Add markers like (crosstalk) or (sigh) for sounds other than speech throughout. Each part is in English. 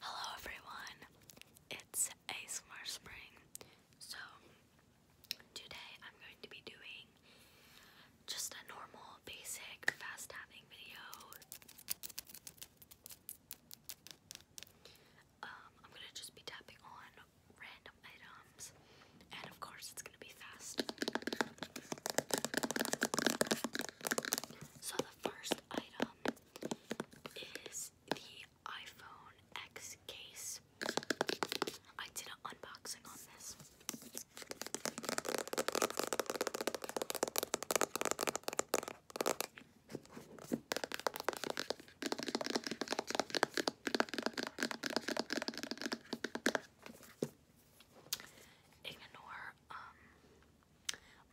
Hello everyone, it's ASMR Spring. So, today I'm going to be doing just a normal, basic, fast tapping video. Um, I'm going to just be tapping on random items, and of course, it's going to be fast. So, the first item is the iPhone X case. I did an unboxing on this. Ignore um,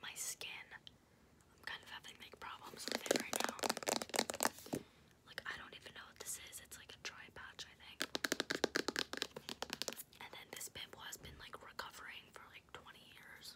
my skin. I'm kind of having like problems with it right now. Like I don't even know what this is. It's like a dry patch, I think. And then this pimple has been like recovering for like 20 years.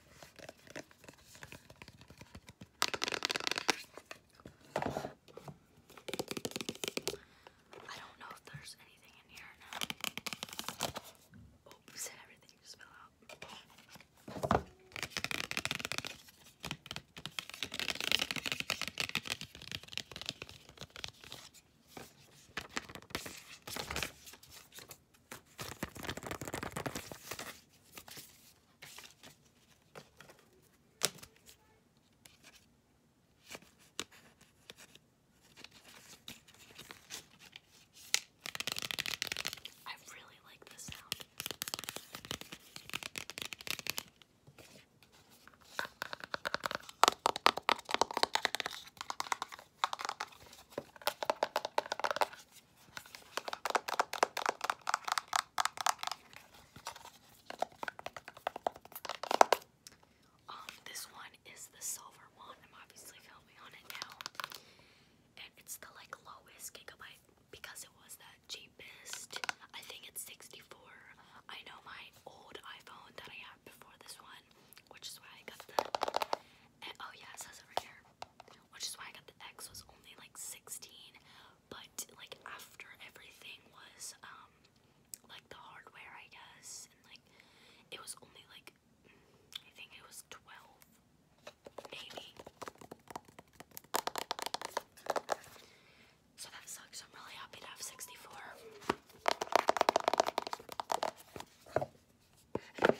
I don't know if there's anything in here Oops, oh, everything just fell out. I really like this sound. Um, this one is the silver one. I'm obviously filming on it now. And it's the like lowest gigabyte because it was the cheapest. I think it's 64. I know my old iPhone that I had before this one which is why I got the. Eh, oh yeah, it says here, which is why I got the X was only like sixteen, but like after everything was um like the hardware I guess, and like it was only like I think it was twelve, maybe. So that sucks. I'm really happy to have sixty four. Okay,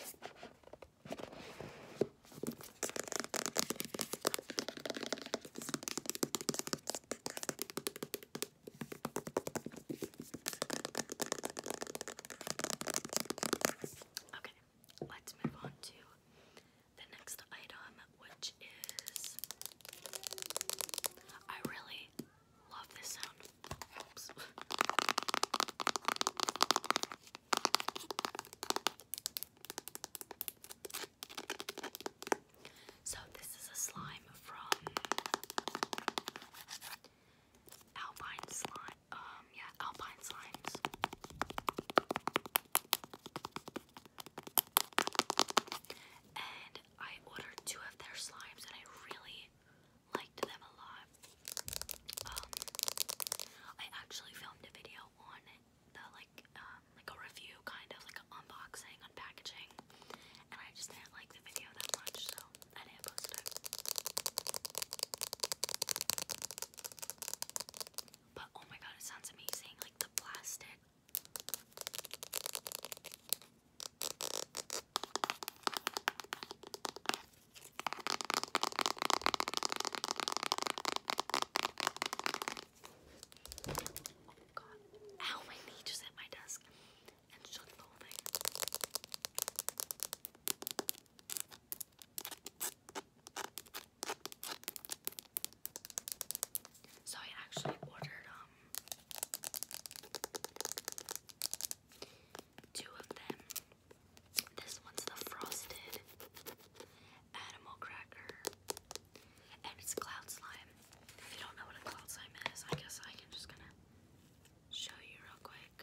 let's move on to the next item, which is. I really love this sound. So this is a slime from Alpine slime. Um, yeah, Alpine slimes. And I ordered two of their slimes, and I really, liked them a lot. Um, I actually filmed a video on the like, um, like a review kind of like an unboxing, unpackaging, and I just didn't like the video that much, so I didn't post it. But oh my god, it sounds amazing! Like the plastic. God. Ow, my knee just hit my desk and shook the whole thing. So I actually ordered um Two of them. This one's the frosted animal cracker. And it's cloud slime. If you don't know what a cloud slime is, I guess I can just gonna show you real quick.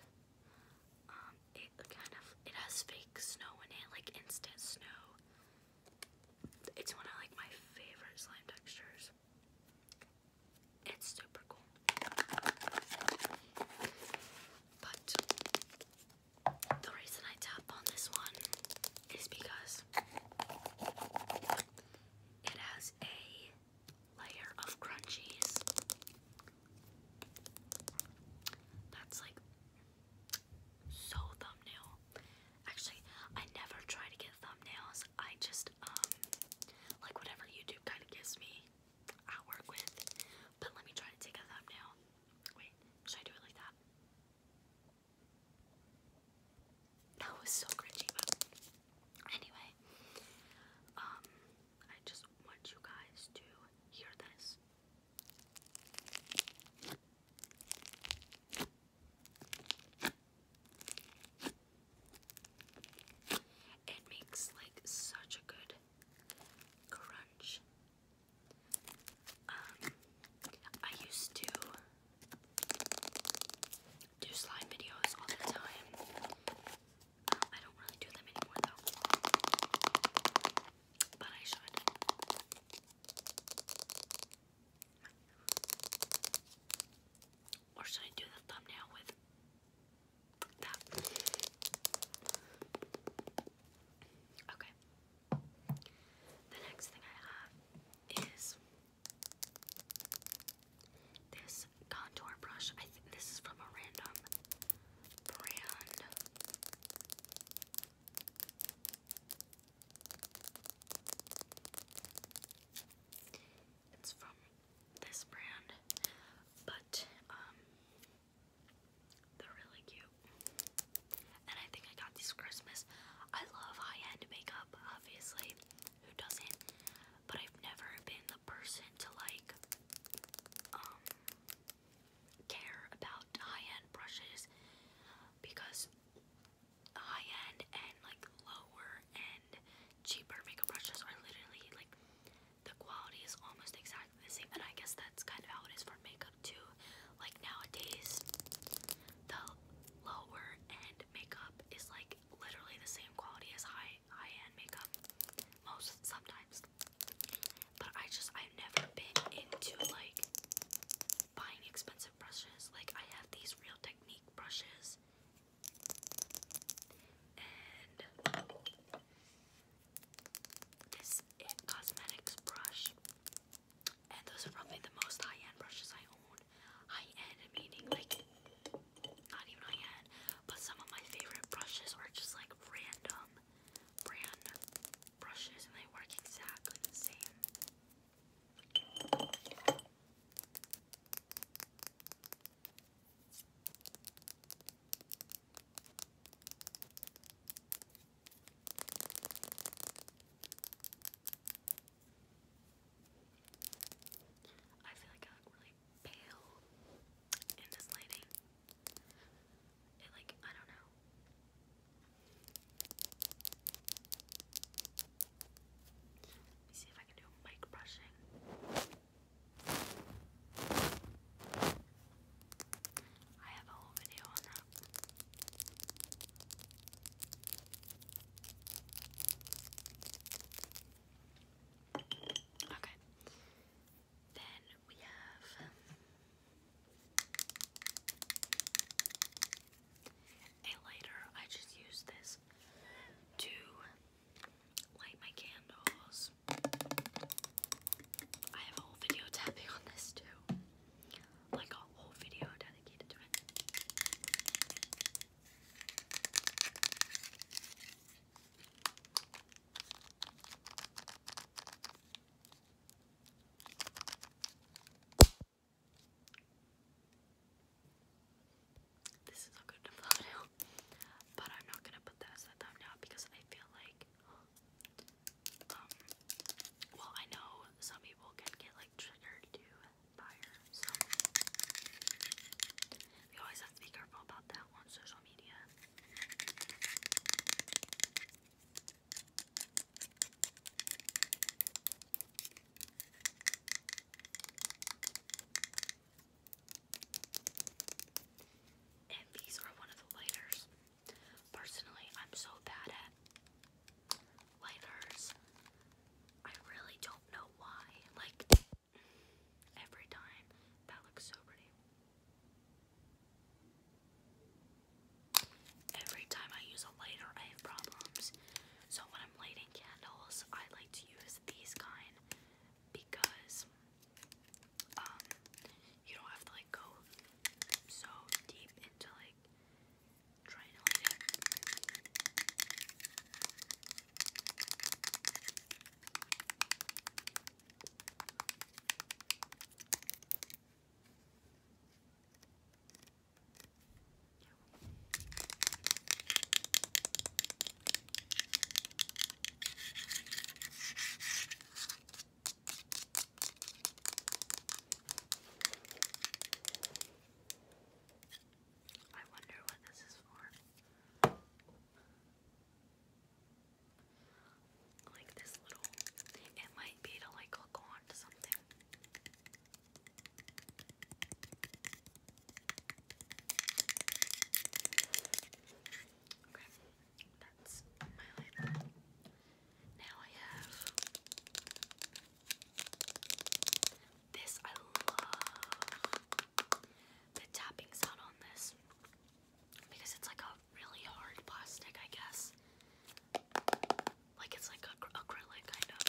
Um, it kind of it has fake snow in it, like instant snow. It's one of like my favorite slime textures. It's super cool. But the reason I tap on this one is because it has a layer of crunchies that's like so thumbnail. Actually, I never try to get thumbnails I just, um, like whatever YouTube kind of gives me, i work with. But let me try to take a thumbnail. Wait, should I do it like that? That was so cringy, anyway, um, I just want you guys to hear this. It makes like such a good crunch. Um, I used to do slime videos all the time. Um, I don't really do them anymore though. But I should. Or should I do the thumbnail with that? Okay. The next thing I have is this contour brush. I think this is from a random brand. It's from this brand, but um, they're really cute. And I think I got these Christmas. I love high-end makeup, obviously. Who doesn't? But I've never been the person to like um care about high-end brushes because high end and like lower end cheaper makeup brushes are literally like the quality is almost exactly the same and I guess that's kind of how it is for makeup too. Like nowadays the lower end makeup is like literally the same quality as high high end makeup most sometimes. But I just I've never been into like buying expensive brushes. Like I have these Real Technique brushes. And this It Cosmetics brush. And those are probably the most high-end brushes I own. High-end meaning like not even high-end. But some of my favorite brushes are just like random brand brushes and they work exactly the same. I feel like I look really pale in this lighting. It like I don't know. Let me see if I can do mic brushing. I have a whole video on that. Okay. Then we have and later, I just use this to light my candles. I have a whole video (laughs) tapping on this too. Like a whole video dedicated to it. This is a good thumbnail, but I'm not gonna put that as a because I feel like, um, well, I know some people can get like triggered to fire, so we always have to be careful about that on social media these are one of the lighters. Personally, I'm so bad at lighters. I really don't know why. Like, every time. That looks so pretty. Every time I use a lighter, I have problems. So when I'm lighting candles, I like to use these kind because um, you don't have to like go so deep into like trying to light it. I wonder what this is for. Like this little, it might be to like hook on something. Okay, that's my highlighter. Now I have this. I love the tapping sound on this because it's like a really hard plastic, I guess. Like it's like ac acrylic, kind of.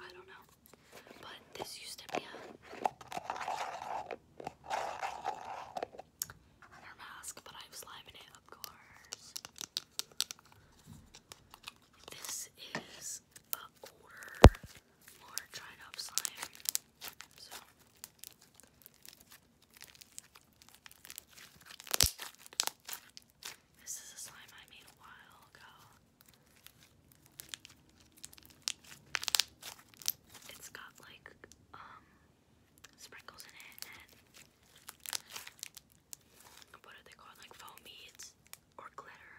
I don't know. But this used to mask, but I'm slamming it, of This is a older, more dried up slime this is a slime I made a while ago. It's got like um, sprinkles in it and what are they called? Like foam or glitter.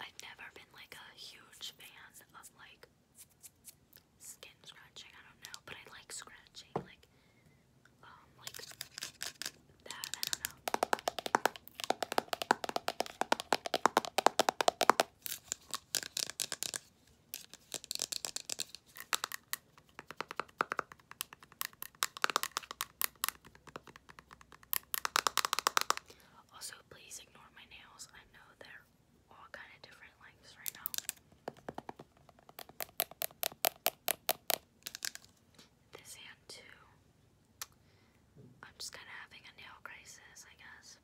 I've never been like a huge fan of like skin scratching. I don't know, but I like scratching, like um, like that. I don't know. Also, please ignore my nails. I know they're all kind of different lengths right now. This hand, too. I'm just kind of having a nail crisis, I guess.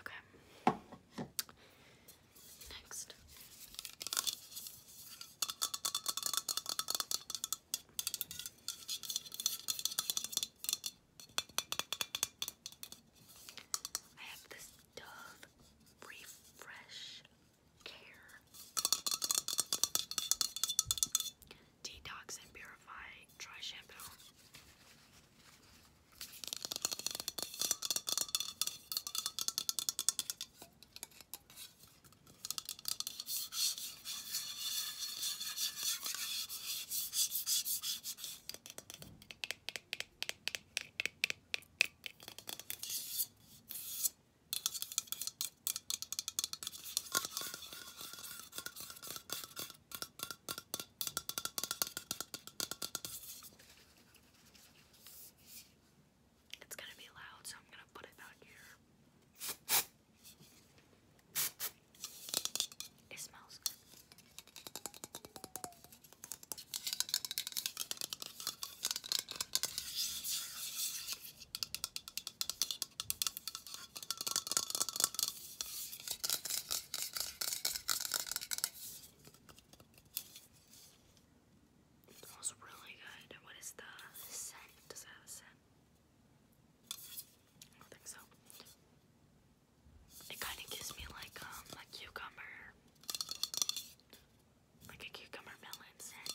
Okay. Next. I have this Dove Refresh Care. Detox and Purify Try Shampoo. It's gonna be loud, so I'm gonna put it out here. It smells good. It smells really good. What is the scent? Does it have a scent? I don't think so. It kind of gives me like um a cucumber, like a cucumber melon scent.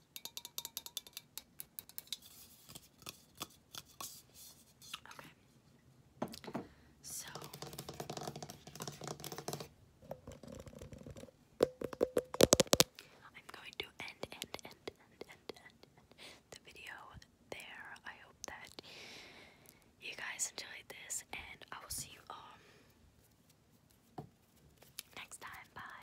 Okay. So I'm going to end, end, end, end, end, end, end the video there. I hope that you guys enjoyed this, and I will see you all um, next time. Bye.